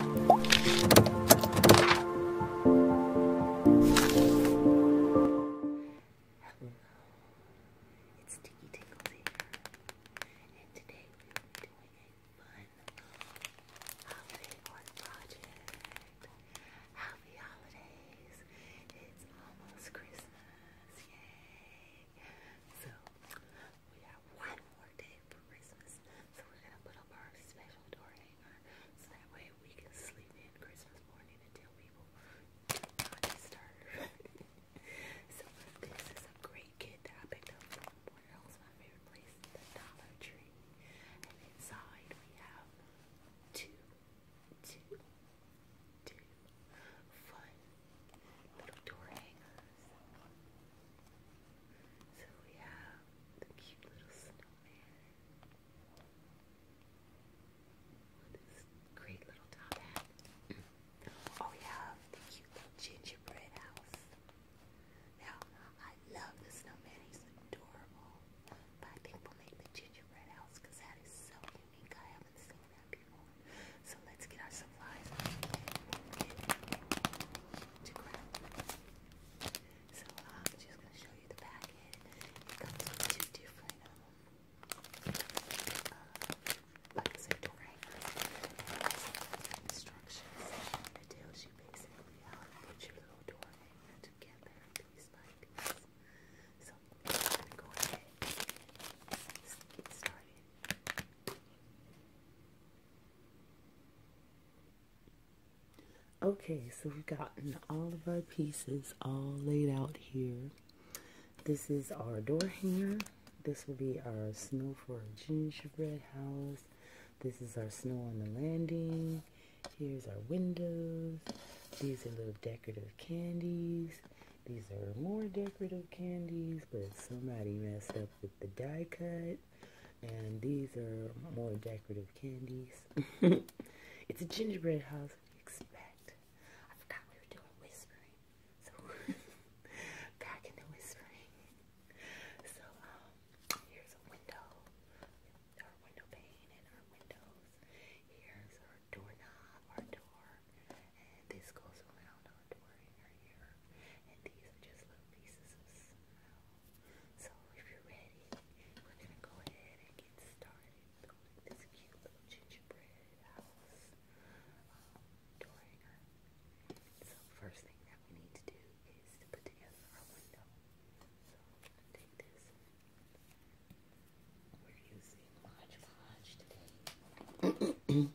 It's Sticky Tingles and today we will doing a fun holiday project. Happy holidays! It's almost Christmas, yay! So, we have one more day for Christmas, so we're gonna put up our special door hanger so that way we can sleep in Christmas morning until tell people not so this is a great kit that I picked up from else my favorite place, the Dollar Tree. And inside we have two, two, two fun little door hangers. So we have the cute little snowman with great little top hat. oh, we have the cute little gingerbread house. Now, I love the snowman, he's adorable. I think we'll make the gingerbread house because that is so unique. I haven't seen that before. So let's get our supplies and to grab. So uh, I'm just gonna show you the packet. It comes with two different um, uh, like I said, instructions. It tells you basically how uh, to put your little door together piece by piece. So I'm gonna go ahead and get started. Okay, so we've gotten all of our pieces all laid out here. This is our door hanger. This will be our snow for our gingerbread house. This is our snow on the landing. Here's our windows. These are little decorative candies. These are more decorative candies, but somebody messed up with the die cut. And these are more decorative candies. it's a gingerbread house. What do you expect? I forgot we were doing whispering. So, back into whispering. So, um, here's a window. Our window pane and our windows. Here's our doorknob, our door. And this goes around our door in And these are just little pieces of smell. So if you're ready, we're gonna go ahead and get started building this cute little gingerbread house um, during her. So first thing that we need to do is to put together our window. So I'm gonna take this. We're using Mod Podge today. Mod Podge. And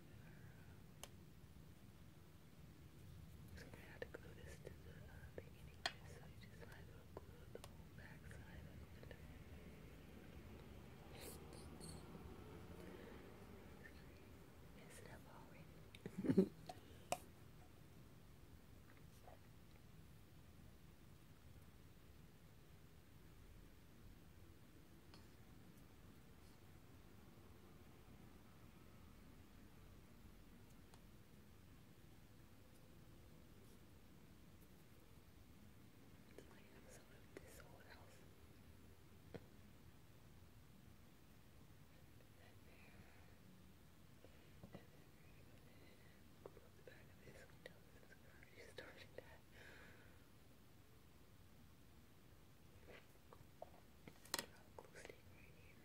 So we're to glue this to the beginning So you just might as glue the whole back side of the it up already. It's like I'm sort of this or else. And then we're gonna close the back of this window since we're already starting that glue stick right here. Now,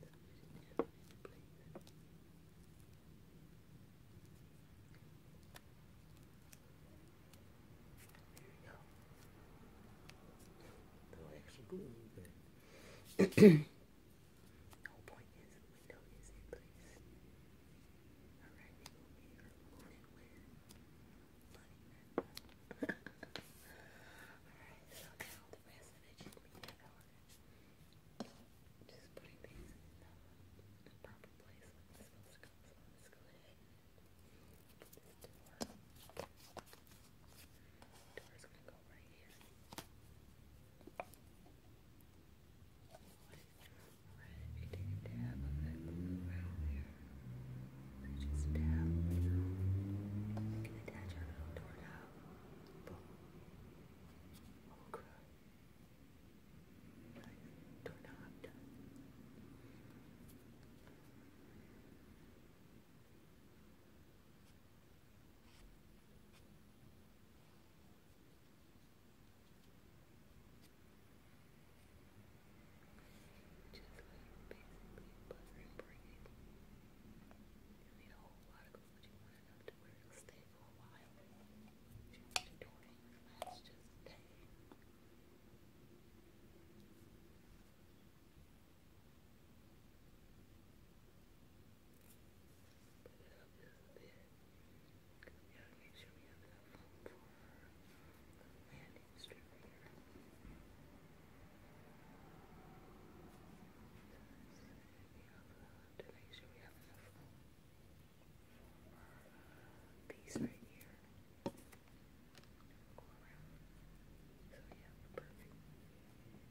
There we go. No extra glue, but the whole point is the window is in place. Alright, we will be removing Bloody Alright, so now the rest of it should be that element. Just putting these in the proper place where it's supposed to go. let's go ahead and door. Door's gonna go right here. Alright, if you take a dab of that glue around there. Just down. We can attach our little doorknob. Boom. Oh, crud. done. Just like basically butter and You need a whole lot of glue, you want enough to stay for a while. Just doing just stay. it up just a bit. Because we gotta make sure we have enough room history later. So to make sure we have enough room for piece right here. Go around. So yeah, perfect. That's great. Bring it down.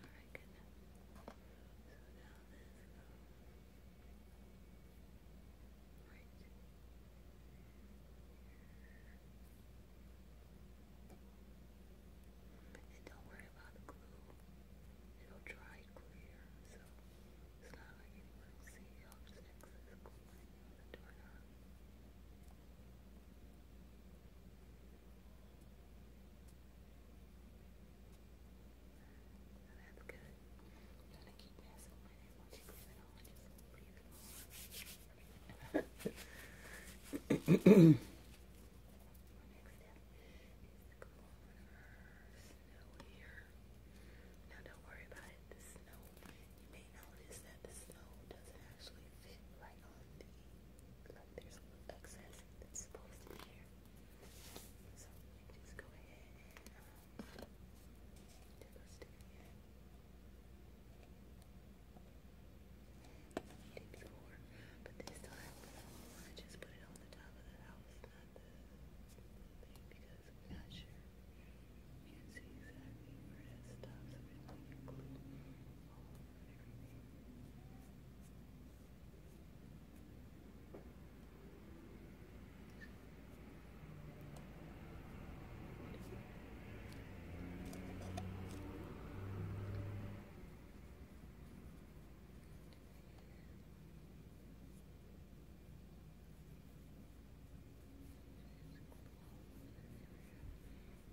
Alright, good enough. So now let's go. Right. And don't worry about the glue. It'll dry clear, so it's not like anyone will see all this excess glue on the doorknob. Alright, so that's good. gonna keep messing with it once you leave it on. is Now don't worry about it. The snow, you may notice that the snow doesn't actually fit right on the like there's a little excess that's supposed to be here. So you can just go ahead and um, take a stick here. I did before, but this time uh, I just put it on the top of the house, not the thing, because I'm not sure. You can see exactly where that stops. So we're going to glue all the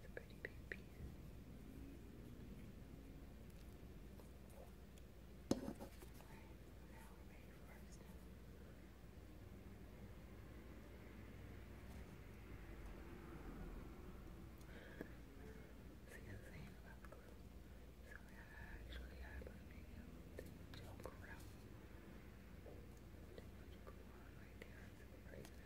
pretty baby. Alright, now we're ready for our step. See the thing about glue. So actually I was making a joke around. Too much glue on right there. It's crazy. Right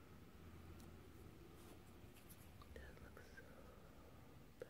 That looks so bad.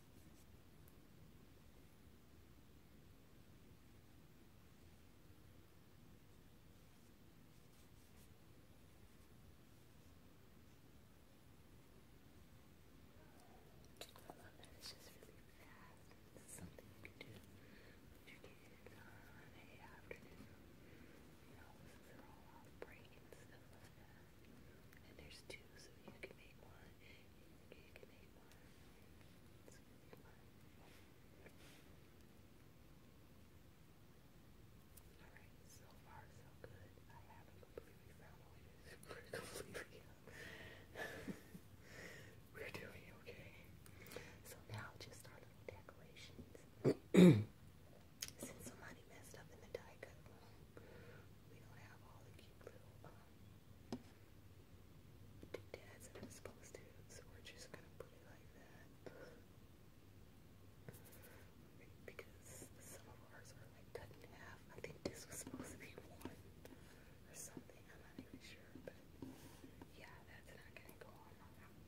I love that it's just really fast. It's something you can do with your kids on a afternoon. You know, since they all off and stuff like that. And there's two, so you can make one. You can make one. Alright, so far so good. I haven't completely found a way to We're doing okay. So now just our little decorations. Since somebody messed up in the die cut we don't have all the cute little um, doodads that I'm supposed to, so we're just gonna put it like that. Because some of ours are like cut in half. I think this was supposed to be one or something. I'm not even sure, but yeah, that's not gonna go on my mouth.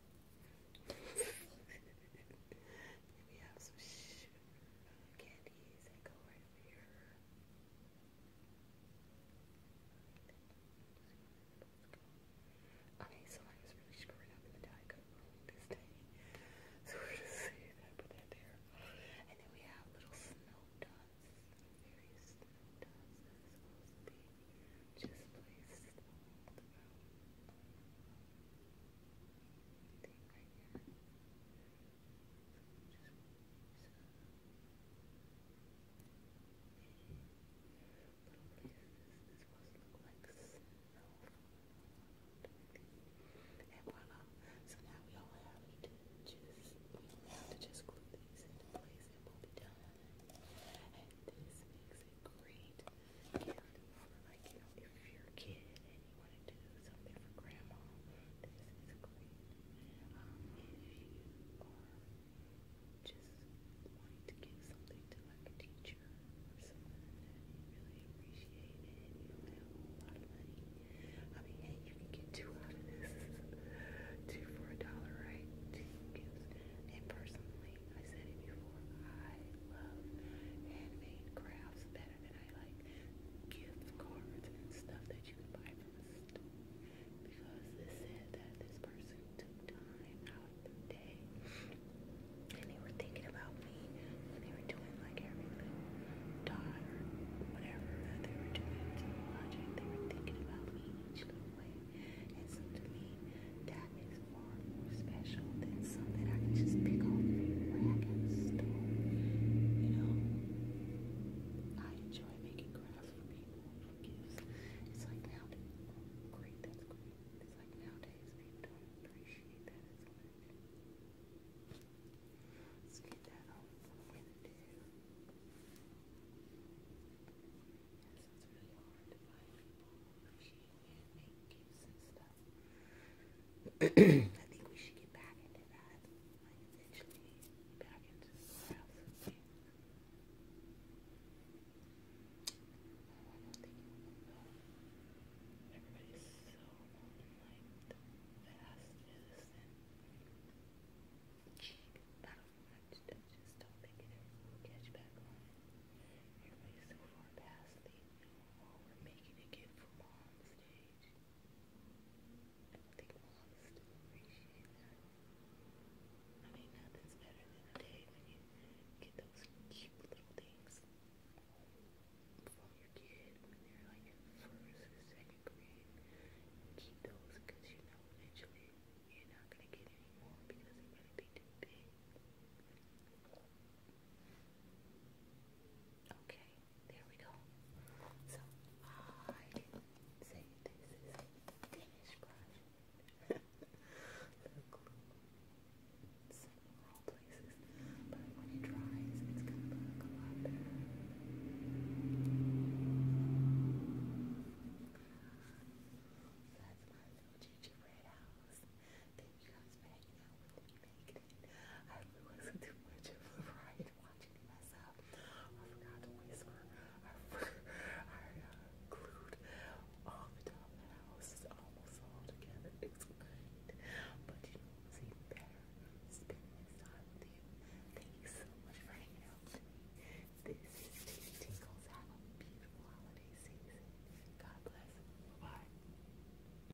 we have some candies that go right over here. Okay, so I was really screwing up in the Diet Coke room this day. So we're just saying that, put that there. And then we have little snow dots. Various snow dots that supposed to be just placed all around. Thing right here. And voila. So now we all have to just, we have to just glue these into place and we'll be done. And this makes a great like, you know, if you're a kid and you want to do something for grandma, this is great. Um, if you are just wanting to give something to like a teacher or someone that you really appreciate and you don't have a whole lot of money, I mean, hey, you can get two out of this. Two for a dollar, right? Two gifts. And personally, I said it before, I love handmade crafts better than I like like gift cards and stuff that you could buy from a store because it said that this person took time out of their day and they were thinking about me when they were doing like every little dot or whatever that they were doing to the project. They were thinking about me each little way. And so to me, that is far more special than so I can just pick off where I store, you know. I enjoy making crafts for people, for gifts. It's like nowadays, It's like nowadays people don't appreciate that Let's get that off Yes, it's really hard to find people gifts and stuff. I think we should get back into that. eventually back into the house. Oh, I don't think you will go. Everybody's so like fast is and cheap. Not just don't think it ever will catch back on we're making it get from on I mean, nothing's better than a day when you get those cute little things from your kid when they're like first or second grade. Keep those because you know eventually you're not going to get any because they're going to be too big. Okay, there we go. So I can say this is Danish brush. the glue places, but when it dries, it's gonna look a lot better. that's my little gingerbread house. Thank you guys for hanging out with me. I really wasn't too much of a riot I forgot to whisper. I, uh, glued all the top of almost all together. It's But you know it's even better spending this time with you. Thank you so much for hanging out with me. This is Daily Tingles. a beautiful holiday season. God bless. bye